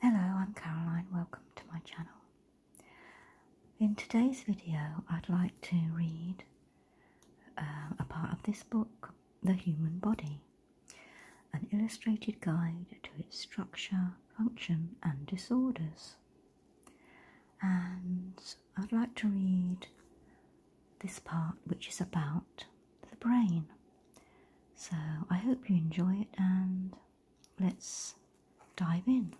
Hello, I'm Caroline. Welcome to my channel. In today's video, I'd like to read uh, a part of this book, The Human Body, an illustrated guide to its structure, function, and disorders. And I'd like to read this part, which is about the brain. So I hope you enjoy it and let's dive in.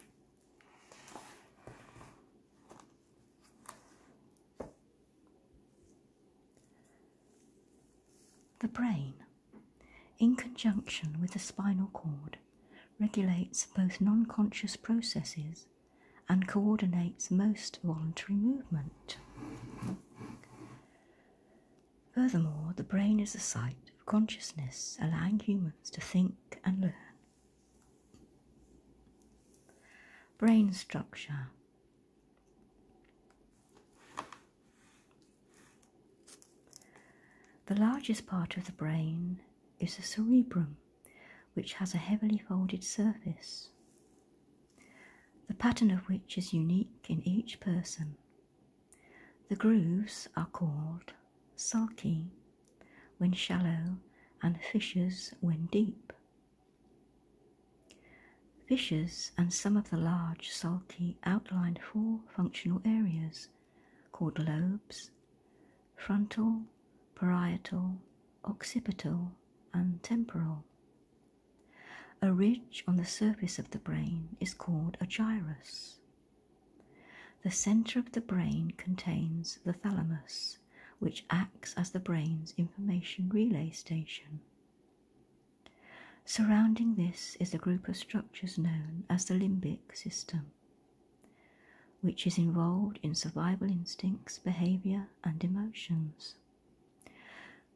The brain, in conjunction with the spinal cord, regulates both non conscious processes and coordinates most voluntary movement. Furthermore, the brain is the site of consciousness, allowing humans to think and learn. Brain structure. The largest part of the brain is the cerebrum, which has a heavily folded surface the pattern of which is unique in each person. The grooves are called sulky when shallow and fissures when deep. Fissures and some of the large sulky outline four functional areas called lobes frontal, parietal, occipital, and temporal. A ridge on the surface of the brain is called a gyrus. The center of the brain contains the thalamus, which acts as the brain's information relay station. Surrounding this is a group of structures known as the limbic system, which is involved in survival instincts, behavior, and emotions.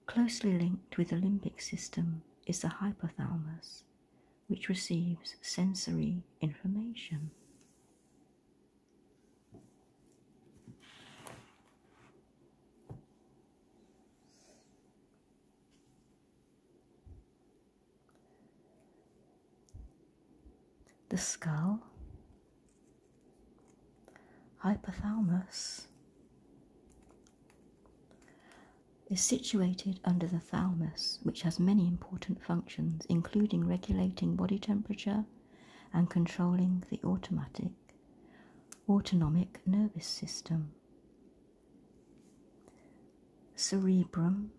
Closely linked with the limbic system is the hypothalamus, which receives sensory information. The skull, Hypothalamus is situated under the thalamus, which has many important functions, including regulating body temperature and controlling the automatic autonomic nervous system. Cerebrum,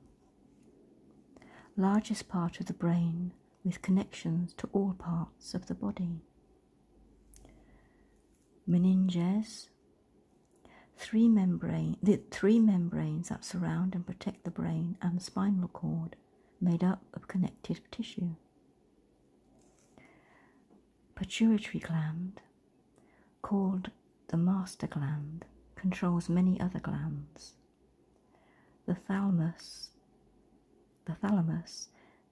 largest part of the brain with connections to all parts of the body meninges, three membrane, the three membranes that surround and protect the brain and spinal cord, made up of connective tissue. Pituitary gland, called the master gland, controls many other glands. The thalamus, the thalamus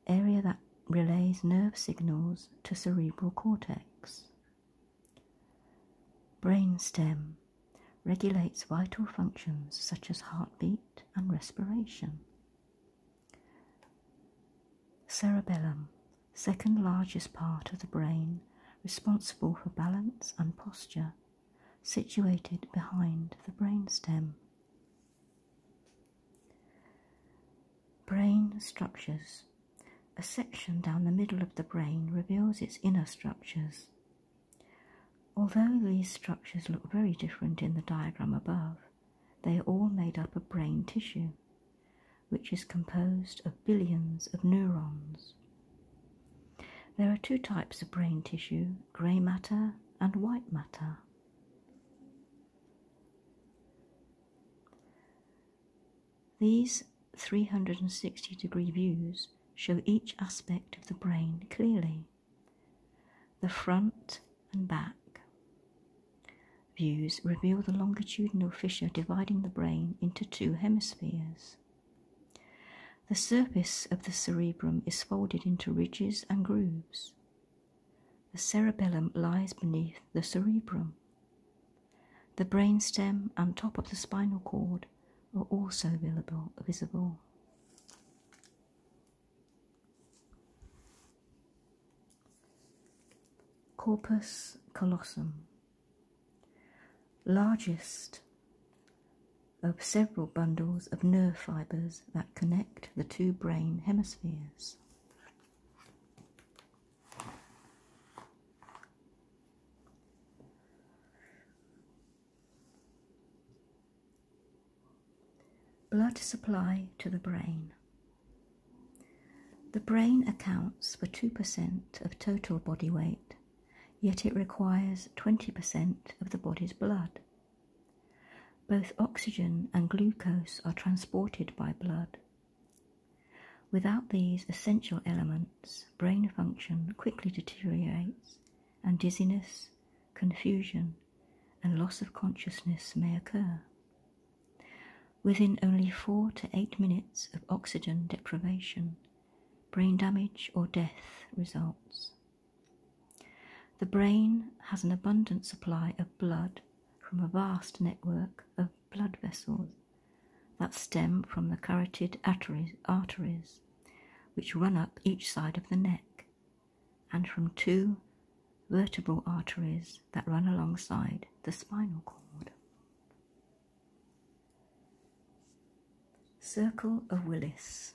area that relays nerve signals to cerebral cortex. Brainstem regulates vital functions such as heartbeat and respiration. Cerebellum, second largest part of the brain, responsible for balance and posture, situated behind the brainstem. Brain structures. A section down the middle of the brain reveals its inner structures. Although these structures look very different in the diagram above, they are all made up of brain tissue, which is composed of billions of neurons. There are two types of brain tissue grey matter and white matter. These 360 degree views show each aspect of the brain clearly the front and back. Views reveal the longitudinal fissure dividing the brain into two hemispheres. The surface of the cerebrum is folded into ridges and grooves. The cerebellum lies beneath the cerebrum. The brainstem and top of the spinal cord are also visible. Corpus callosum, largest of several bundles of nerve fibres that connect the two brain hemispheres. Blood supply to the brain. The brain accounts for 2% of total body weight, yet it requires 20% of the body's blood both oxygen and glucose are transported by blood. Without these essential elements, brain function quickly deteriorates, and dizziness, confusion, and loss of consciousness may occur. Within only four to eight minutes of oxygen deprivation, brain damage or death results. The brain has an abundant supply of blood from a vast network of blood vessels that stem from the carotid arteries, which run up each side of the neck, and from two vertebral arteries that run alongside the spinal cord. Circle of Willis.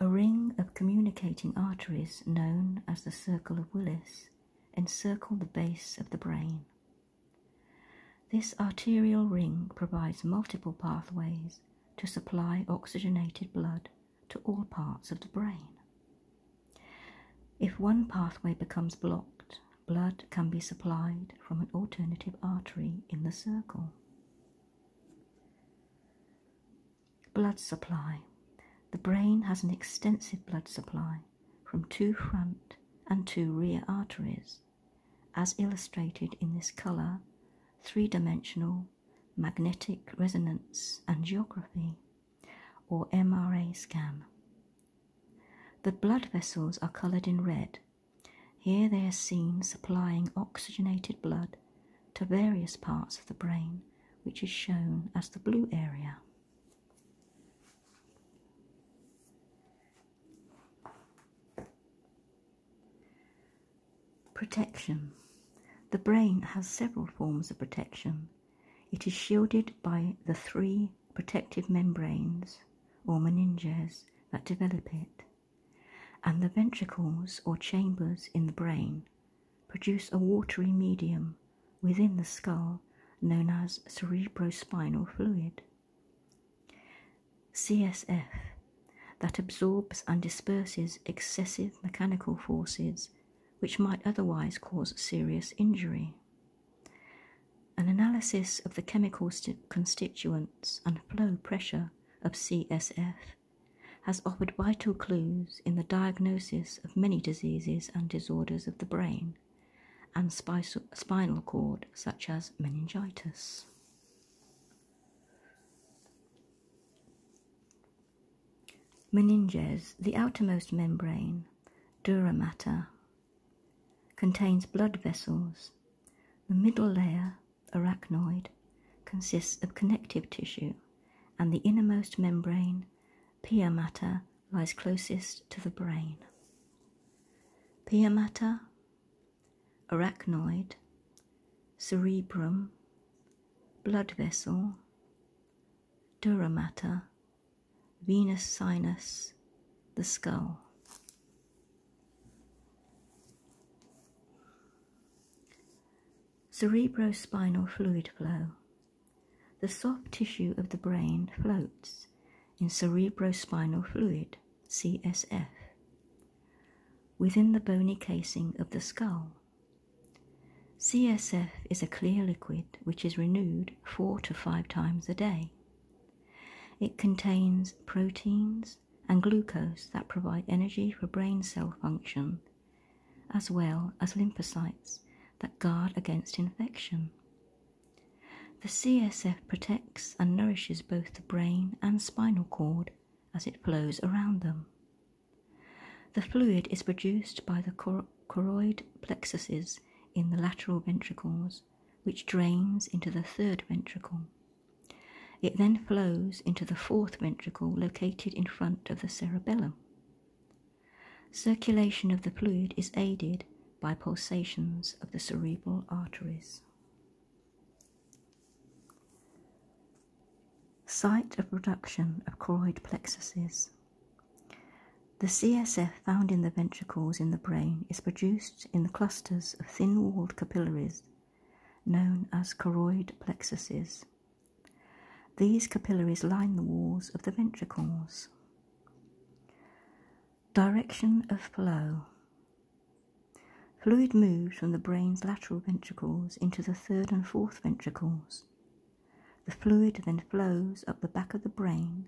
A ring of communicating arteries known as the Circle of Willis encircle the base of the brain. This arterial ring provides multiple pathways to supply oxygenated blood to all parts of the brain. If one pathway becomes blocked, blood can be supplied from an alternative artery in the circle. Blood supply. The brain has an extensive blood supply from two front and two rear arteries, as illustrated in this colour, three dimensional magnetic resonance and geography, or MRA scan. The blood vessels are coloured in red. Here they are seen supplying oxygenated blood to various parts of the brain, which is shown as the blue area. Protection. The brain has several forms of protection. It is shielded by the three protective membranes or meninges that develop it, and the ventricles or chambers in the brain produce a watery medium within the skull known as cerebrospinal fluid. CSF that absorbs and disperses excessive mechanical forces which might otherwise cause serious injury. An analysis of the chemical constituents and flow pressure of CSF has offered vital clues in the diagnosis of many diseases and disorders of the brain and spinal cord, such as meningitis. Meninges, the outermost membrane, dura mater, contains blood vessels. The middle layer, arachnoid, consists of connective tissue, and the innermost membrane, pia mater, lies closest to the brain. Pia mater, arachnoid, cerebrum, blood vessel, dura mater, venous sinus, the skull. Cerebrospinal fluid flow. The soft tissue of the brain floats in cerebrospinal fluid, CSF, within the bony casing of the skull. CSF is a clear liquid which is renewed four to five times a day. It contains proteins and glucose that provide energy for brain cell function as well as lymphocytes that guard against infection. The CSF protects and nourishes both the brain and spinal cord as it flows around them. The fluid is produced by the choroid plexuses in the lateral ventricles, which drains into the third ventricle. It then flows into the fourth ventricle located in front of the cerebellum. Circulation of the fluid is aided by pulsations of the cerebral arteries. Site of production of choroid plexuses. The CSF found in the ventricles in the brain is produced in the clusters of thin walled capillaries known as choroid plexuses these capillaries line the walls of the ventricles. Direction of flow. Fluid moves from the brain's lateral ventricles into the third and fourth ventricles. The fluid then flows up the back of the brain,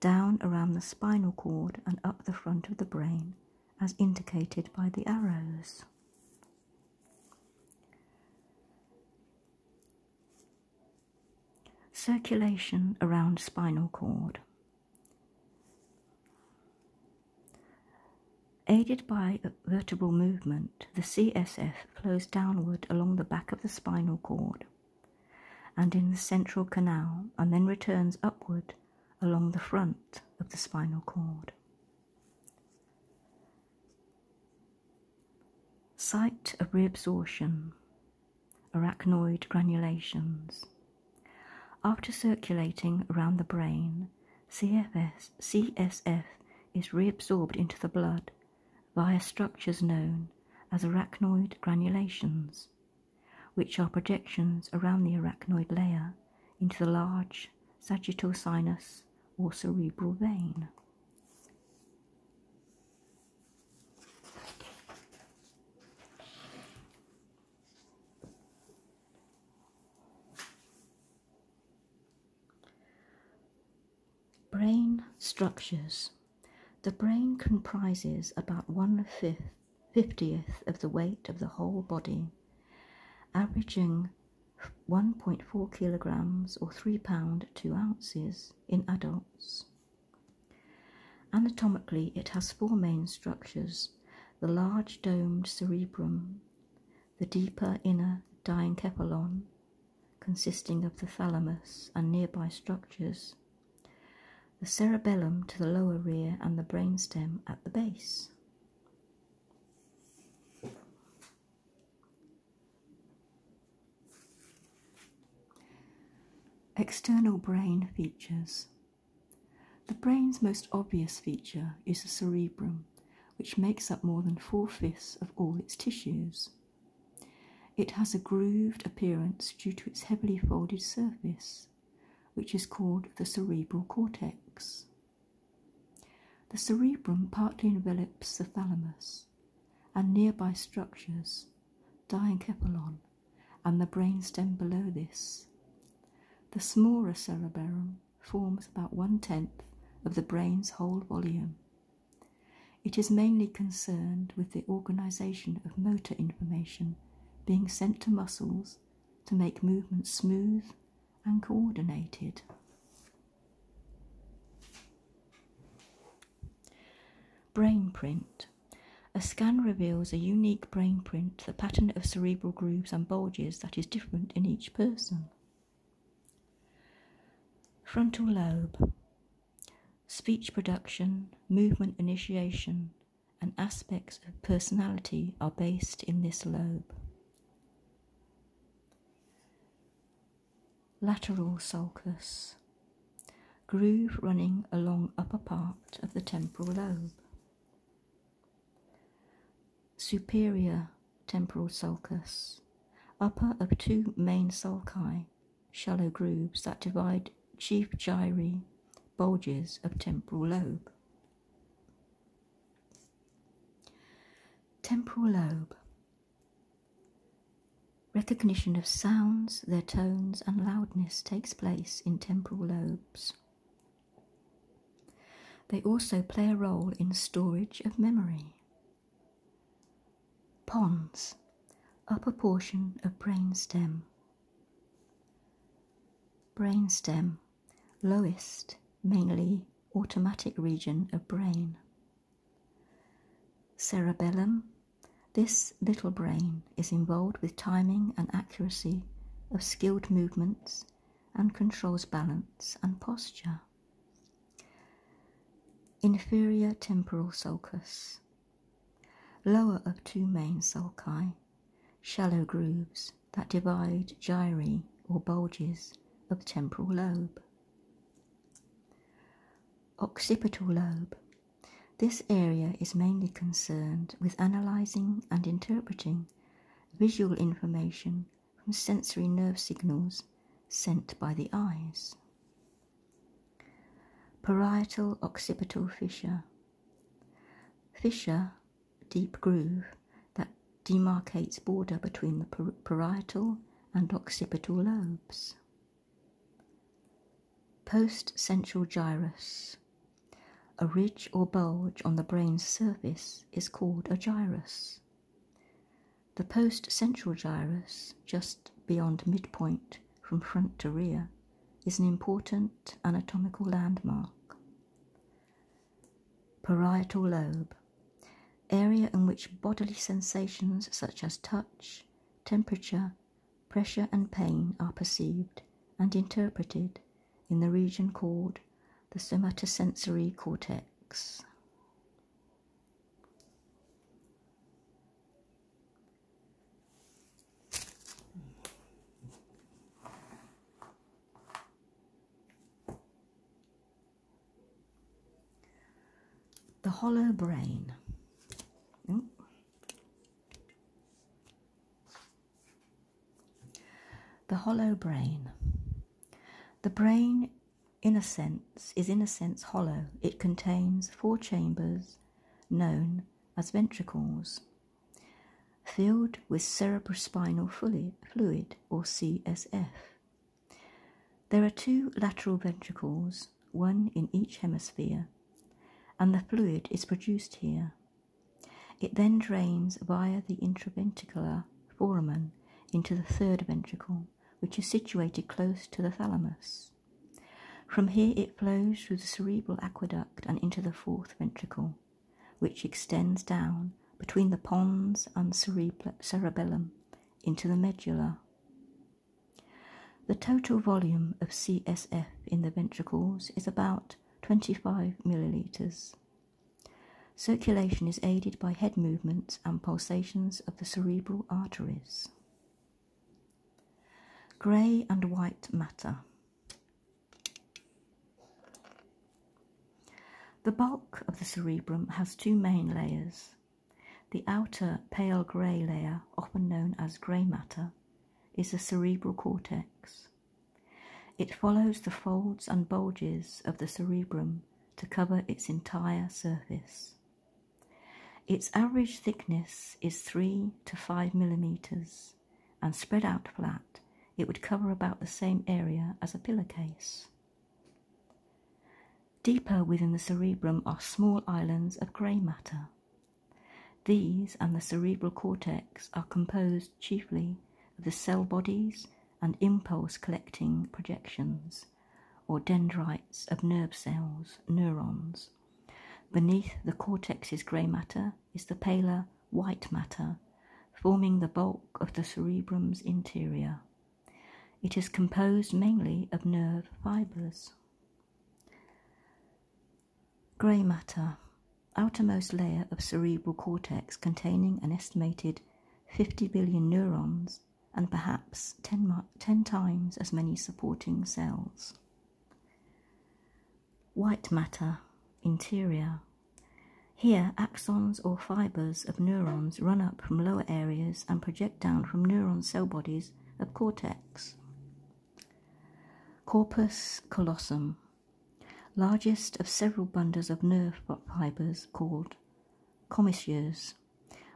down around the spinal cord, and up the front of the brain, as indicated by the arrows. Circulation around spinal cord. Aided by vertebral movement, the CSF flows downward along the back of the spinal cord and in the central canal and then returns upward along the front of the spinal cord. Site of reabsorption, arachnoid granulations. After circulating around the brain, CFS, CSF is reabsorbed into the blood via structures known as arachnoid granulations, which are projections around the arachnoid layer into the large sagittal sinus or cerebral vein. Brain structures. The brain comprises about one fifth, fiftieth of the weight of the whole body, averaging 1.4 kilograms or 3 pound 2 ounces in adults. Anatomically, it has four main structures the large domed cerebrum, the deeper inner diencephalon, consisting of the thalamus and nearby structures, the cerebellum to the lower rear, and the brainstem at the base. External brain features. The brain's most obvious feature is the cerebrum, which makes up more than four fifths of all its tissues. It has a grooved appearance due to its heavily folded surface, which is called the cerebral cortex. The cerebrum partly envelops the thalamus and nearby structures, diencephalon, and the brainstem below this. The smaller cerebellum forms about one tenth of the brain's whole volume. It is mainly concerned with the organization of motor information being sent to muscles to make movements smooth and coordinated. Brain print. A scan reveals a unique brain print, the pattern of cerebral grooves and bulges that is different in each person. Frontal lobe. Speech production, movement initiation, and aspects of personality are based in this lobe. Lateral sulcus, groove running along upper part of the temporal lobe. Superior temporal sulcus, upper of two main sulci, shallow grooves that divide chief gyri bulges of temporal lobe. Temporal lobe. Recognition of sounds, their tones, and loudness takes place in temporal lobes. They also play a role in storage of memory. Pons, upper portion of brainstem. Brainstem, lowest, mainly automatic region of brain. Cerebellum, this little brain is involved with timing and accuracy of skilled movements and controls balance and posture. Inferior temporal sulcus, lower of two main sulci, shallow grooves that divide gyri or bulges of the temporal lobe. Occipital lobe. This area is mainly concerned with analyzing and interpreting visual information from sensory nerve signals sent by the eyes. Parietal occipital fissure. Fissure deep groove that demarcates border between the parietal and occipital lobes. Post-central gyrus. A ridge or bulge on the brain's surface is called a gyrus. The post-central gyrus, just beyond midpoint from front to rear, is an important anatomical landmark. Parietal lobe, area in which bodily sensations such as touch, temperature, pressure, and pain are perceived and interpreted in the region called the somatosensory cortex. The Hollow Brain. The Hollow Brain. The brain, in a sense, is in a sense hollow. It contains four chambers known as ventricles filled with cerebrospinal fluid or CSF. There are two lateral ventricles, one in each hemisphere, and the fluid is produced here. It then drains via the intraventricular foramen into the third ventricle, which is situated close to the thalamus. From here it flows through the cerebral aqueduct and into the fourth ventricle which extends down between the pons and cerebellum into the medulla. The total volume of CSF in the ventricles is about 25 millilitres. Circulation is aided by head movements and pulsations of the cerebral arteries. Grey and white matter. The bulk of the cerebrum has two main layers. The outer pale grey layer, often known as grey matter, is the cerebral cortex. It follows the folds and bulges of the cerebrum to cover its entire surface. Its average thickness is 3 to 5 millimetres and spread out flat it would cover about the same area as a pillowcase. Deeper within the cerebrum are small islands of grey matter. These and the cerebral cortex are composed chiefly of the cell bodies and impulse collecting projections, or dendrites of nerve cells, neurons. Beneath the cortex's grey matter is the paler white matter, forming the bulk of the cerebrum's interior. It is composed mainly of nerve fibers. Grey matter, outermost layer of cerebral cortex containing an estimated 50 billion neurons and perhaps 10, times as many supporting cells. White matter, interior, here, axons or fibers of neurons run up from lower areas and project down from neuron cell bodies of cortex. Corpus callosum, largest of several bundles of nerve fibers called commissures,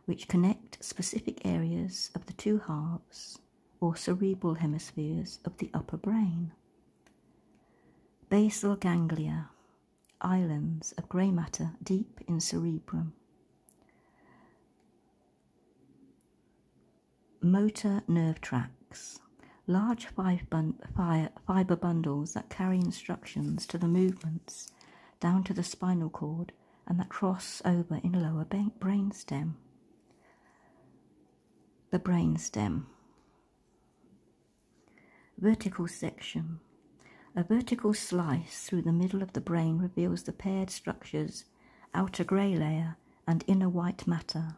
which connect specific areas of the two halves or cerebral hemispheres of the upper brain basal ganglia, islands of grey matter deep in cerebrum. Motor nerve tracts, large fibre bundles that carry instructions to the movements down to the spinal cord and that cross over in lower brain stem. The brain stem. Vertical section. A vertical slice through the middle of the brain reveals the paired structures, outer grey layer and inner white matter.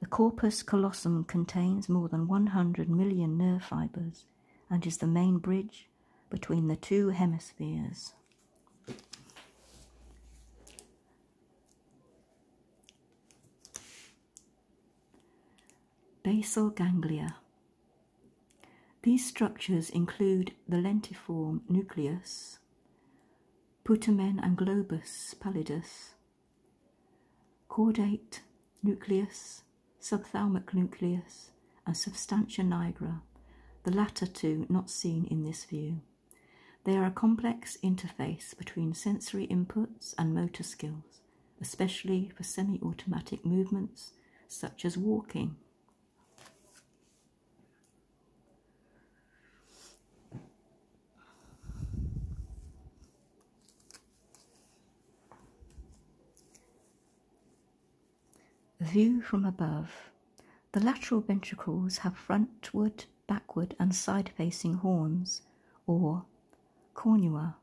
The corpus callosum contains more than 100 million nerve fibres and is the main bridge between the two hemispheres. Basal ganglia. These structures include the lentiform nucleus, putamen and globus pallidus, caudate nucleus, subthalamic nucleus, and substantia nigra, the latter two not seen in this view. They are a complex interface between sensory inputs and motor skills especially for semi automatic movements such as walking. View from above. The lateral ventricles have frontward, backward, and side facing horns, or cornua.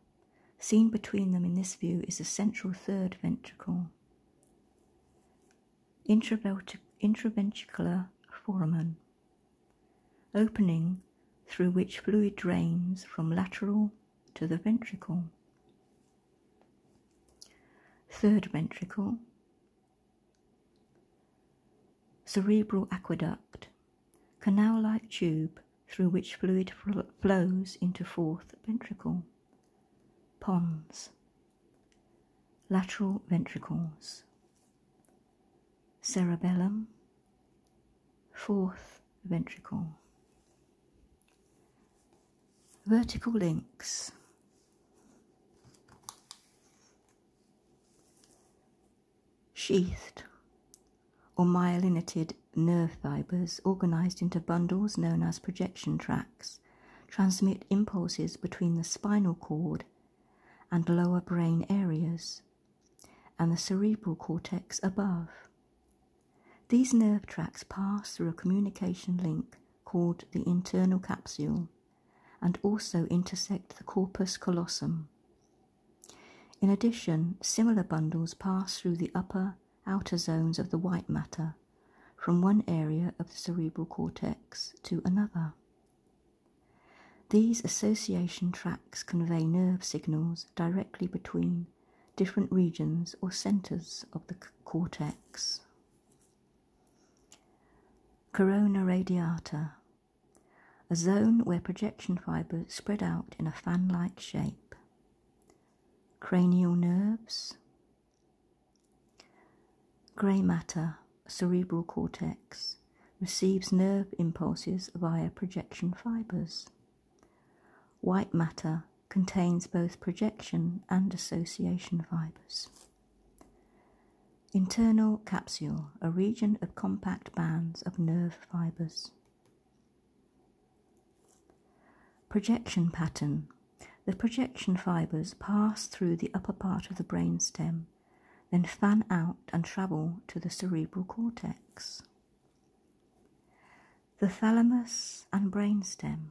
Seen between them in this view is the central third ventricle. Intraventricular foramen. Opening through which fluid drains from lateral to the ventricle. Third ventricle cerebral aqueduct, canal like tube through which fluid flows into fourth ventricle, pons, lateral ventricles, cerebellum, fourth ventricle. Vertical links sheathed or myelinated nerve fibers organized into bundles known as projection tracts transmit impulses between the spinal cord and lower brain areas and the cerebral cortex above. These nerve tracts pass through a communication link called the internal capsule and also intersect the corpus callosum, in addition, similar bundles pass through the upper, outer zones of the white matter from one area of the cerebral cortex to another. These association tracks convey nerve signals directly between different regions or centers of the cortex. Corona radiata a zone where projection fibers spread out in a fan like shape, cranial nerves, grey matter, cerebral cortex, receives nerve impulses via projection fibers. White matter contains both projection and association fibers. Internal capsule, a region of compact bands of nerve fibers. Projection pattern. The projection fibers pass through the upper part of the brain stem, then fan out and travel to the cerebral cortex. The thalamus and brainstem.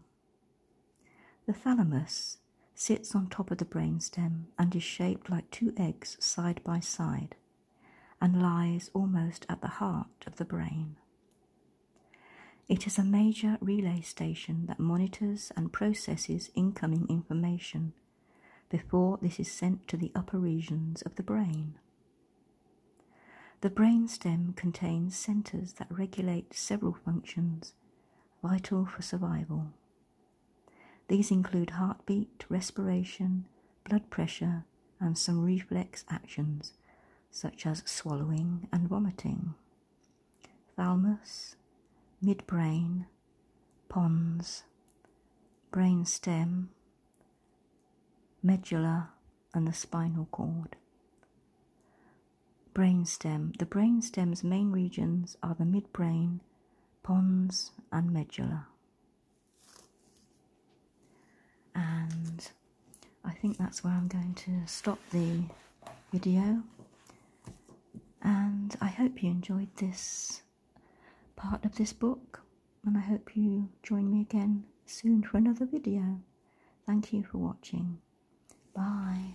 The thalamus sits on top of the brainstem and is shaped like two eggs side by side, and lies almost at the heart of the brain. It is a major relay station that monitors and processes incoming information before this is sent to the upper regions of the brain. The brainstem contains centers that regulate several functions vital for survival, these include heartbeat, respiration, blood pressure, and some reflex actions such as swallowing and vomiting. Thalamus, midbrain, pons, brain stem, medulla, and the spinal cord. Brainstem. The brainstem's main regions are the midbrain, pons, and medulla and I think that's where I'm going to stop the video. And I hope you enjoyed this part of this book, and I hope you join me again soon for another video. Thank you for watching. Bye.